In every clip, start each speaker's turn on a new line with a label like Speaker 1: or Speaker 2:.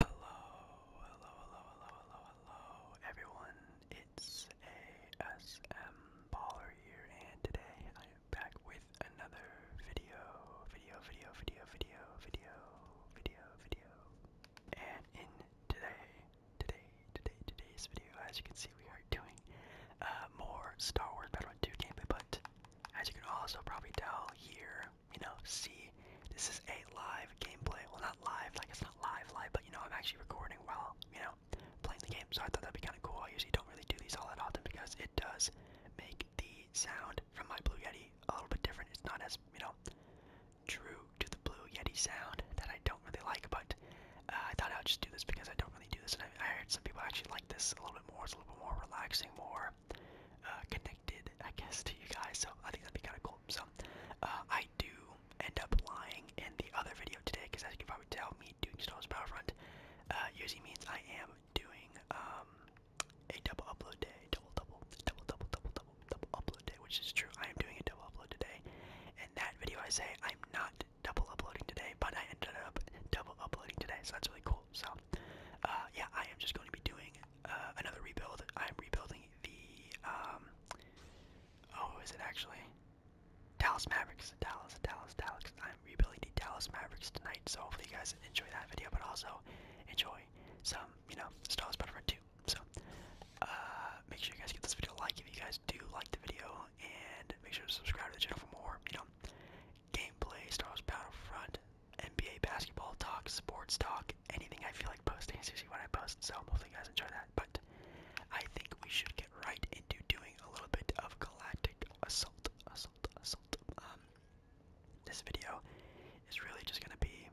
Speaker 1: Hello, hello, hello, hello, hello, hello, everyone. It's ASM Baller here, and today I am back with another video, video, video, video, video, video, video, video. And in today, today, today, today's video, as you can see, we are doing uh, more Star Wars Battlefront 2 gameplay, but as you can also probably tell here, you know, see, this is a live gameplay. Well, not live, like it's not live, live, but you know, I'm actually recording while, you know, playing the game. So I thought that'd be kind of cool. I usually don't really do these all that often because it does make the sound from my Blue Yeti a little bit different. It's not as, you know, true to the Blue Yeti sound that I don't really like, but uh, I thought I would just do this because I don't really do this. And I, I heard some people actually like this a little bit more. It's a little bit more relaxing, more uh, connected, I guess, to you guys. So I think that'd be kind of cool. So uh, I do end up lying in the other video today because as you can probably tell, me doing Star Wars Battlefront uh, usually means I am doing um, a double upload day, double, double, double, double, double, double, upload day, which is true. I am doing a double upload today. In that video, I say I'm not double uploading today, but I ended up double uploading today, so that's really cool. So, uh, yeah, I am just going to be doing uh, another rebuild. I'm rebuilding the um oh is it actually Dallas Mavericks. Dallas, Dallas, Dallas. I'm rebuilding the Dallas Mavericks tonight, so hopefully you guys enjoy that video, but also enjoy some, you know, Star Wars Battlefront 2. So uh make sure you guys give this video a like if you guys do like the video and make sure to subscribe to the channel for more, you know, gameplay, Star Wars Battlefront NBA basketball talk, sports talk, anything I feel like posting is usually what I post, so hopefully you guys enjoy that. But I think we should get right into doing a little bit of galactic assault, assault, assault. Um, this video is really just gonna be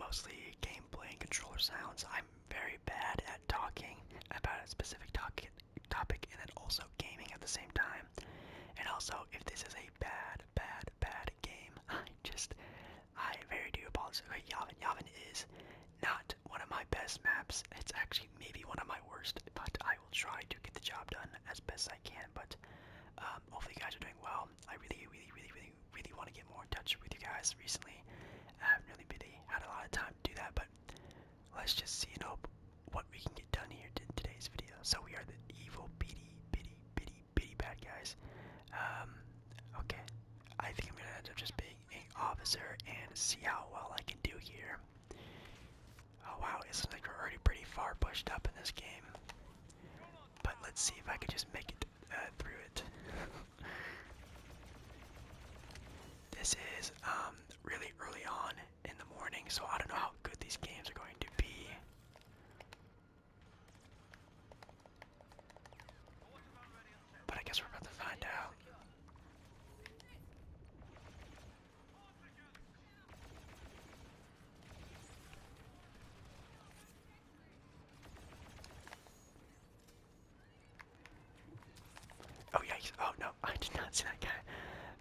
Speaker 1: mostly gameplay and controller sounds. I'm very bad at talking about a specific topic, topic, and then also gaming at the same time. And also, if this is a bad bad, bad, game. I just, I very do apologize. Like, Yavin, Yavin is not one of my best maps. It's actually maybe one of my worst, but I will try to get the job done as best I can. But um, hopefully, guys are doing well. I really, really, really, really, really want to get more in touch with you guys recently. I haven't really, really had a lot of time to do that, but let's just see and hope what we can get done here in today's video. So we are the evil bitty, bitty, bitty, bitty bad guys. Um, okay, I think I'm gonna end up just being an officer and see how well I can do here. Oh wow, it seems like we're already pretty far pushed up in this game. But let's see if I can just make it uh, through it. this is um, really early on in the morning, so I don't know how good these games are going to be. But I guess we're about to find out. Oh yikes! Oh no, I did not see that guy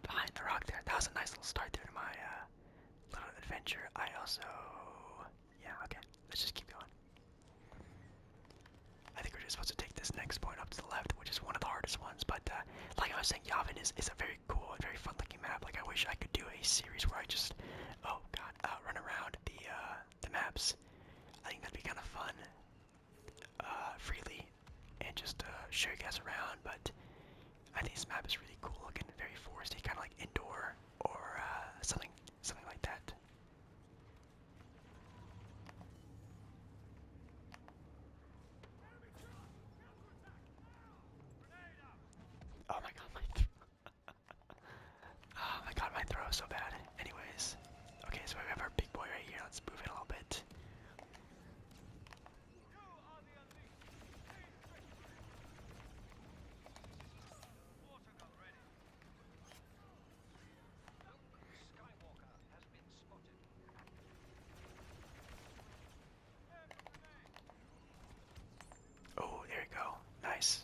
Speaker 1: behind the rock there. That was a nice little start there to my uh, little adventure. I also, yeah, okay. Let's just keep going. I think we're just supposed to take this next point up to the left, which is one of the hardest ones. But uh, like I was saying, Yavin is, is a very cool very fun-looking map. Like I wish I could do a series where I just, oh god, uh, run around the uh, the maps. I think that'd be kind of fun, uh, freely, and just uh, show you guys around. But I think this map is really cool looking, very foresty, kind of like indoor or uh, something, something like that. Oh my god, my oh my god, my throw so bad. Anyways, okay, so we have our big boy right here. Let's move it a little bit. Oh, there we go. Nice.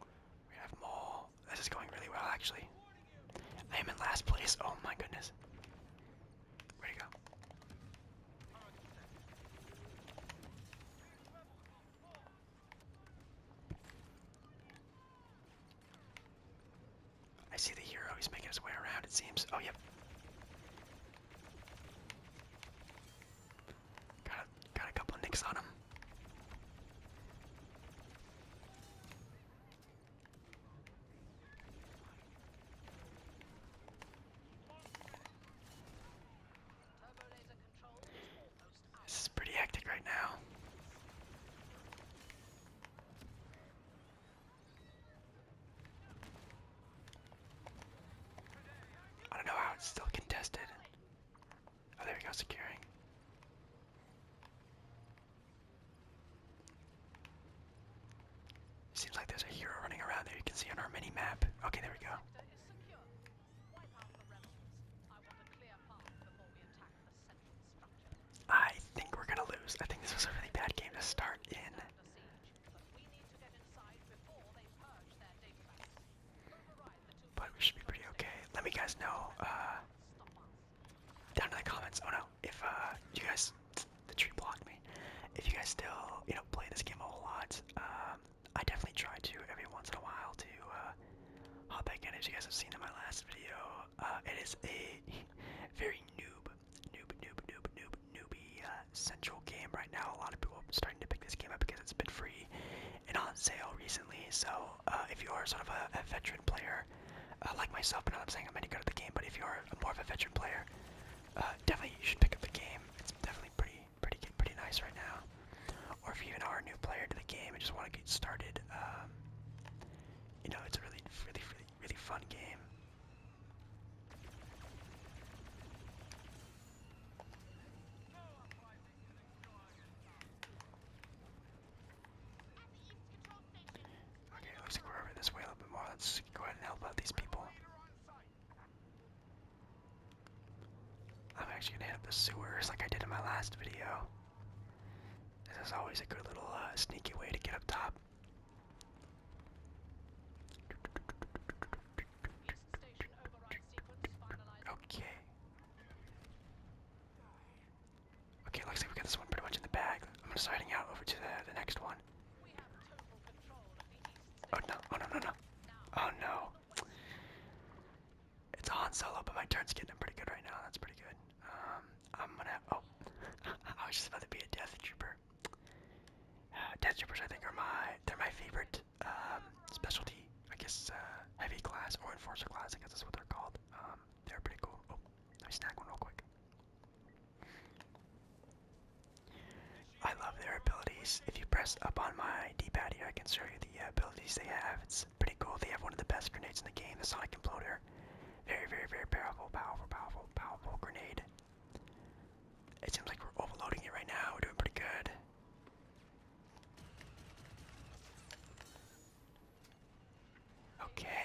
Speaker 1: We have more. This is going really well, actually. I am in last place. Oh my goodness. Where'd go? I see the hero. He's making his way around, it seems. Oh, yep. Got a, got a couple of nicks on him. This is pretty hectic right now. I don't know how it's still contested. Oh, there we go, securing. Seems like there's a hero running around there. You can see on our mini map. Okay, there we go.
Speaker 2: I think we're gonna lose. I think
Speaker 1: this was a really bad game to start in. But we should be pretty okay. Let me guys know uh, down in the comments. Oh no, if uh, you guys, the tree blocked me. If you guys still, you know, play this game a whole lot, um, I definitely try to every once in a while to uh, hop back in. As you guys have seen in my last video, uh, it is a very noob, noob, noob, noob, noob, newbie uh, central game right now. A lot of people are starting to pick this game up because it's been free and on sale recently. So uh, if you are sort of a, a veteran player uh, like myself, but not I'm saying I'm any good at the game, but if you are a, more of a veteran player, uh, definitely you should pick up the game. It's definitely pretty pretty pretty nice right now. Or if you even are new player to the game and just want to get started, um, you know, it's a really, really, really, really fun game. Okay, it looks like we're over this way a little bit more. Let's go ahead and help out these people. I'm actually gonna hit up the sewers like I did in my last video. This is always a good little uh, sneaky way to get up top. Okay. Okay, looks like we got this one pretty much in the bag. I'm just sliding out over to the, the next one. Oh no, oh no, no, no. Oh no. It's a Han Solo, but my turn's getting pretty good right now. That's pretty good. Um, I'm gonna. Oh, I was just about to be a Death Trooper. Death Troopers, I think, are my. They're my favorite um, specialty. I guess uh, heavy class or enforcer class. I guess that's what they're called. Um, they're pretty cool. Oh, let me snack one real quick. I love their abilities. If you press up on my D-pad here, I can show you the uh, abilities they have. It's pretty cool. They have one of the best grenades in the game, the Sonic Imploder. Very, very, very powerful, powerful, powerful, powerful grenade. It seems like we're overloading it right now. We're doing pretty good. Okay.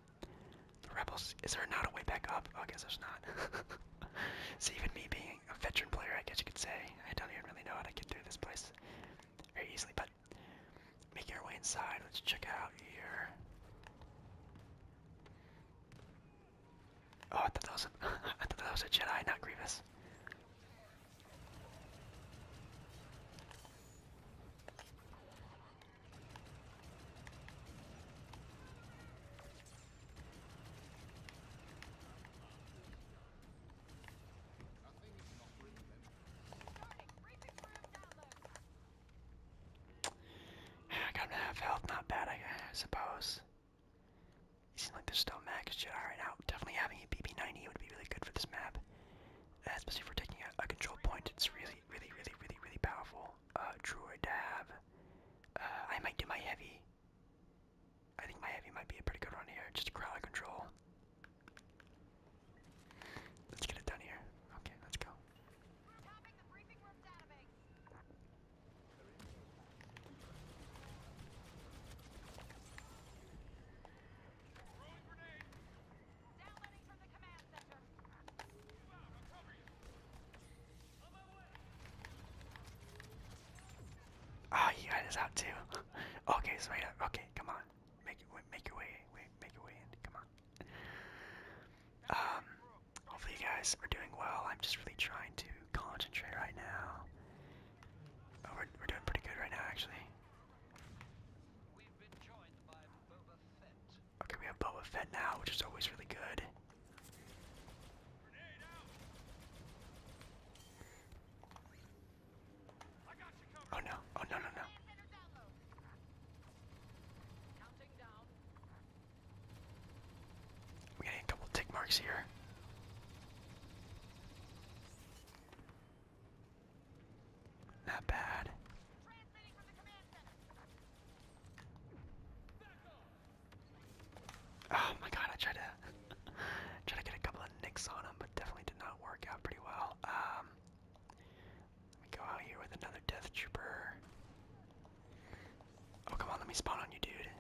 Speaker 1: The Rebels, is there not a way back up? Oh, I guess there's not. so even me being a veteran player, I guess you could say, I don't even really know how to get through this place very easily, but making our way inside, let's check out here. Oh, I thought that was a, I thought that was a Jedi, not Grievous. I got half health, not bad, I, suppose. It seems like there's still max Jedi right now. Definitely having a BB-90 would be really good for this map, especially for taking a, a control point. It's really, really, really, really, really powerful uh, Druid Dab. Uh, I might do my heavy. I think my heavy might be a pretty good run here. Just crowd control. Let's get it done here. Okay, let's go. Oh, you got us out too. okay, so yeah, okay, come on, make it, make your way, wait, make your way in. Come on. Um, hopefully you guys are doing well. I'm just really trying to concentrate right now. Oh, we're we're doing pretty good right now, actually. Okay, we have Boba Fett now, which is always really good. Oh no, oh no, no, no. We're getting a couple tick marks here. Not bad. Oh my god, I tried to try to get a couple of nicks on him, but definitely did not work out pretty well. Um, let me go out here with another death trooper. Oh come on, let me spawn on you, dude.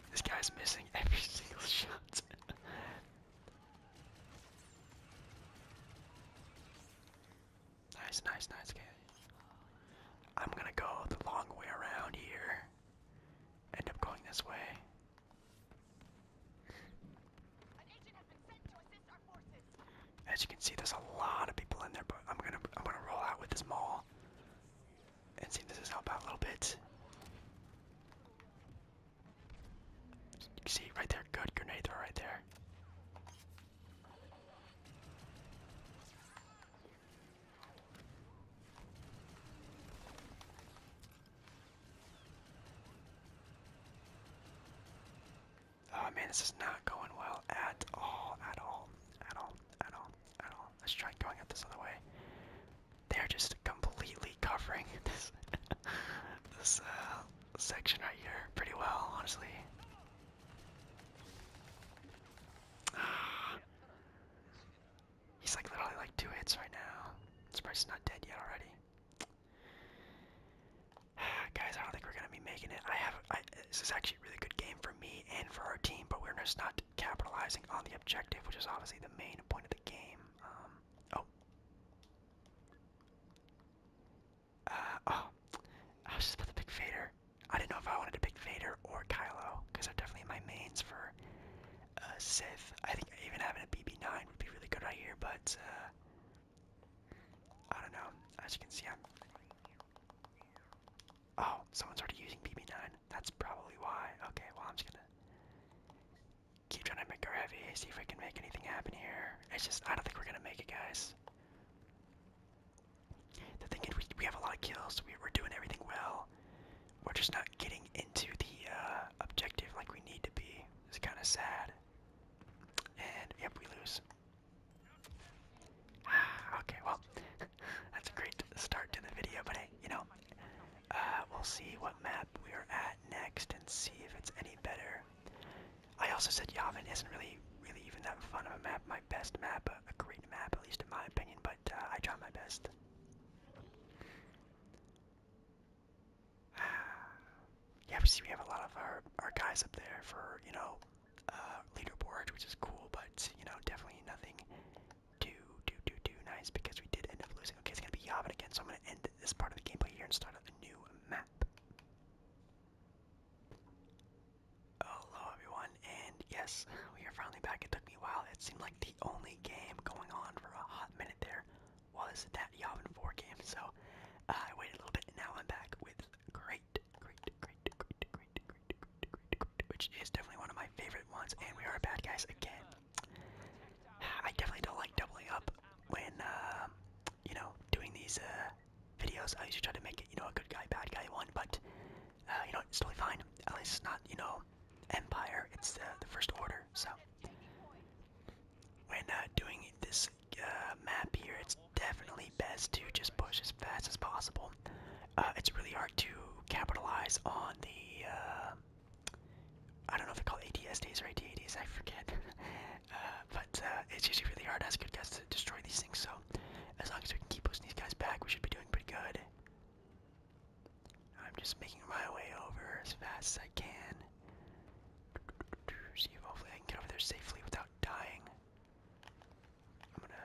Speaker 1: this guy's missing every single shot. Nice, nice, nice, okay. I'm gonna go the long way around here. End up going this way. As you can see, there's a lot of people in there, but I'm gonna I'm gonna roll out with this mall and see if this is out a little bit see right there, good grenade throw right there. Oh man, this is not going well at all, at all, at all, at all, at all. Let's try going up this other way they're just completely covering this this uh, section right here pretty well, honestly. He's like literally like two hits right now. I'm surprised he's not dead yet already. Guys, I don't think we're gonna be making it. I have this is actually a really good game for me and for our team, but we're just not capitalizing on the objective, which is obviously the main point of the game. Um, Oh. Uh, oh. I was just about to pick Vader. I didn't know if I wanted to pick Vader or Kylo, because they're definitely my mains for uh, Sith. I think even having a BB9 would be really good right here, but uh, I don't know. As you can see, I'm. Oh, someone's already using BB9. That's probably why. Okay, well, I'm just gonna keep trying to make her heavy, see if we can make anything happen here. It's just, I don't think we're gonna make it, guys. The thing is, we, have a lot of kills, we, are doing everything well. We're just not getting into the uh, objective like we need to be. It's kind of sad. And, yep, we lose. okay, well, that's a great start to the video, but hey, you know, uh, we'll see what map we are at that next and see if it's any better. I also said Yavin isn't really, really even that fun of a map. My best map, a, a great map, at least in my opinion. But uh, I try my best. yeah, we see we have a lot of our our guys up there for you know uh, leaderboard, which is cool. But you know, definitely nothing too too too too nice because we did end up losing okay, it's gonna be Yavin again, so I'm gonna end this part of the gameplay here and start a new map. Hello everyone, and yes, we are finally back. It took me a while. It seemed like the only game going on for a hot minute there was that Yavin 4 game, so uh, I waited a little bit, and now I'm back with great, great, great, great, great, great, great, great, great, which is definitely one of my favorite ones, and we are bad guys again. I definitely don't like doubling up when, uh, you know, doing these uh, videos. I usually try to make it, you know, a good guy, bad guy one, but, uh, you know, it's totally fine. At least it's not, you know, Empire, it's uh, the First Order, so. When uh, doing this map here, it's definitely best to just push as fast as possible. it's really hard to capitalize on the I don't know if they call ADSDs or at I forget. Uh, but uh, it's usually really hard as good guys to destroy these things, so as long as we can keep pushing these guys back, we should be doing pretty good. I'm just making my way over as fast as I can. See hopefully I can get over there safely without dying. I'm gonna.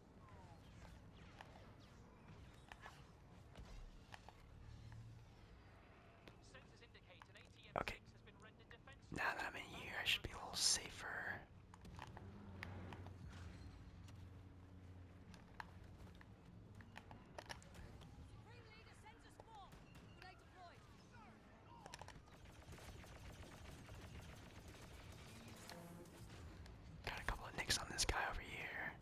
Speaker 1: Okay. Now that I'm in here, I should be a little safer. Got a couple of nicks on this guy over here.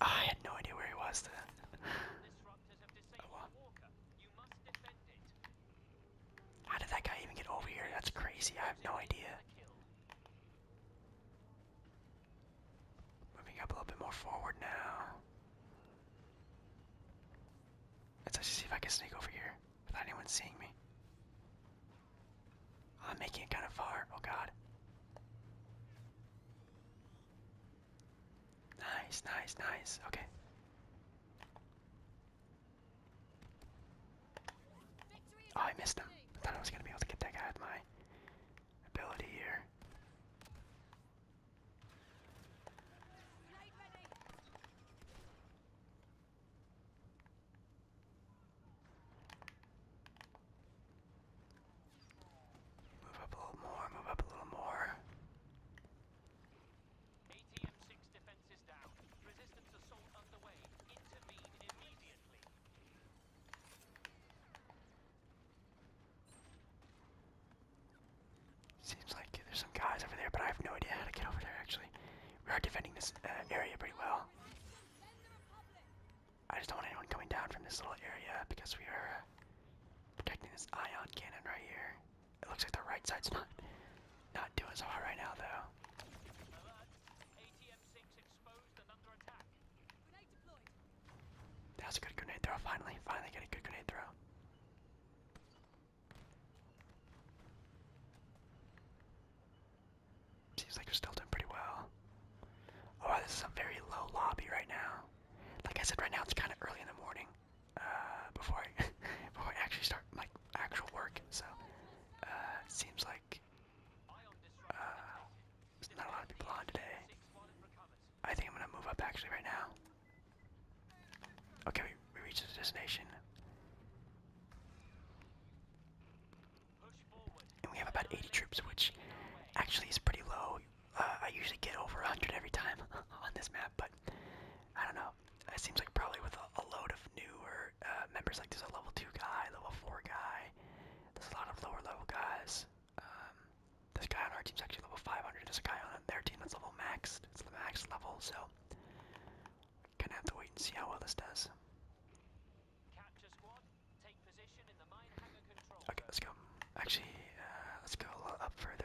Speaker 1: I had no idea where he was How did that guy even get over here? That's crazy. I have no idea. Moving up a little bit more forward now. Let's actually see if I can sneak over here without anyone seeing me. I'm making it kind of far. Oh god. Nice, nice, nice. Okay. Oh, I missed him. I thought I was gonna be able to get that guy with my ability here. Move up a little more, move up a little more. ATM-6 defense is down. Resistance assault underway. Intervene immediately.
Speaker 2: Seems like there's some guys over there, but I
Speaker 1: have no idea how to get over there, actually. We are defending this uh, area pretty well. I just don't want anyone coming down from this little area because we are uh, protecting this ion cannon right here. It looks like the right side's not not doing so hot right now, though. That's a good grenade throw. Finally, finally get a good grenade throw. Seems like you are still doing pretty well. Oh, this is a very low lobby right now. Like I said, right now it's kind of early in the morning. Uh, before I before I actually start like actual work, so uh, seems like uh, there's not a lot of people on today. I think I'm gonna move up actually right now. Okay, we, reached the destination. And we have about 80 troops, which actually is pretty low. Uh, I usually get over 100 every time on this map, but I don't know. It seems like probably with a, load of newer uh, members, like there's a level 2 guy, level 4 guy, there's a lot of lower level guys. Um, this guy on our team's actually level 500, there's a guy on their team that's level max. It's the max level, so gonna have to wait and see how well this does. okay, let's go. Actually, uh, let's go up further.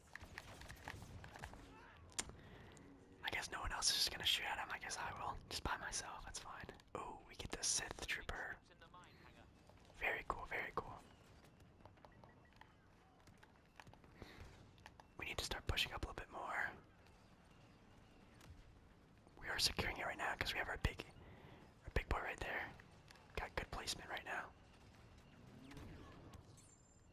Speaker 1: I guess no one else is just gonna shoot at him. I guess I will. Just by myself, that's fine. Oh, we get the Sith Trooper. Very cool, very cool. We need to start pushing up a little bit more. We are securing it right now because we have our big our big boy right there. Got good placement right now.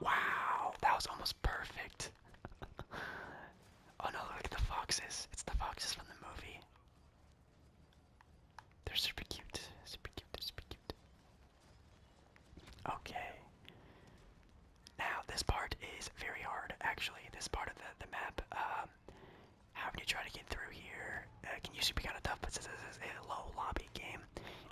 Speaker 1: Wow, that was almost perfect. oh no, look at the foxes. It's the foxes from the movie. They're super cute. Super cute, super cute. Okay. Now, this part is very hard, actually. This part of the, the map. Um, how do you try to get through here? Uh, can usually be kind of tough, but this is a low lobby game,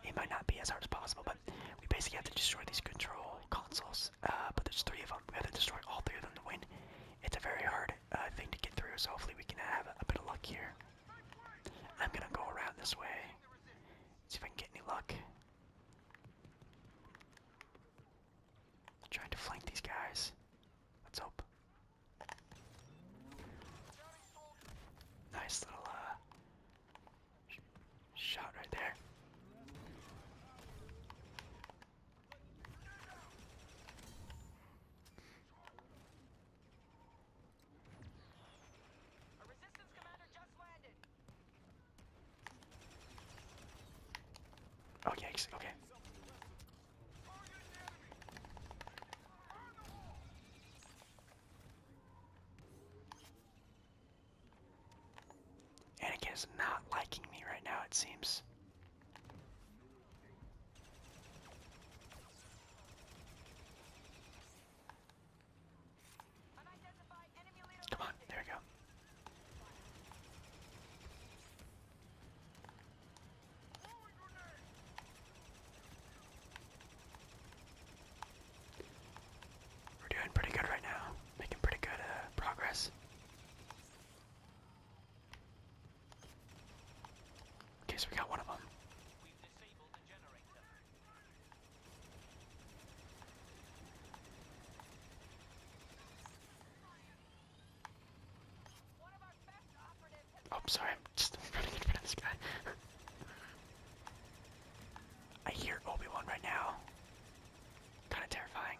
Speaker 1: it might not be as hard as possible, but we basically have to destroy these control consoles. Uh, but there's three of them. We have to destroy all three of them to win. It's a very hard uh, thing to get through, so hopefully we can have a, bit of luck here. I'm gonna go around this way. See if I can get any luck. trying to flank these guys. Let's hope. Nice little uh, Shot right there. A resistance commander just landed. Oh yikes, okay. Anakin is not liking me right now, it seems. Come on, there we go. We're doing pretty good right now, making pretty good uh, progress. Okay, so we got one of them. Oh, sorry, I'm just running in front guy. I hear Obi-Wan right now. Kind of terrifying.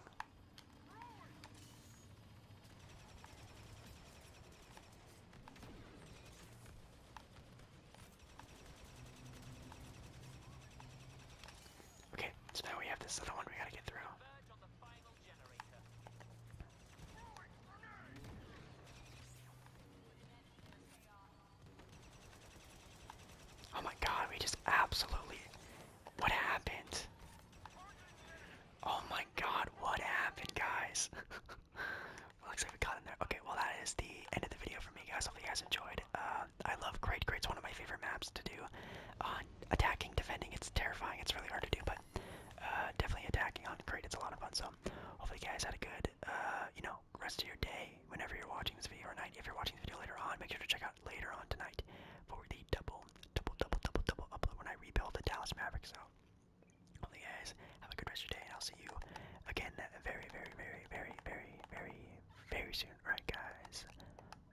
Speaker 1: Okay, so now we have this other one we gotta get through. Oh my god, we just absolutely. What happened? Oh my god, what happened, guys? well, looks like we got in there. Okay, well, that is the end of the video for me, guys. Hopefully, you guys enjoyed. Uh, I love Great Great's one of my favorite maps to do. On uh, attacking, defending, it's terrifying. It's really hard to do, but uh, definitely attacking on Great, it's a lot of fun. So, hopefully, you guys had a good, you know, now, rest of your day, whenever you're watching this video or night. If you're watching this video later on, make sure to check out later on tonight for the double, double, double, double, double upload when I rebuild the Dallas Mavericks. So, hopefully, guys, have a good rest of your day, and I'll see you again very, very, very, very, very, very, very soon. All right, guys.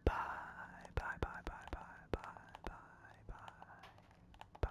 Speaker 1: Bye, bye, bye, bye, bye, bye, bye, bye, bye.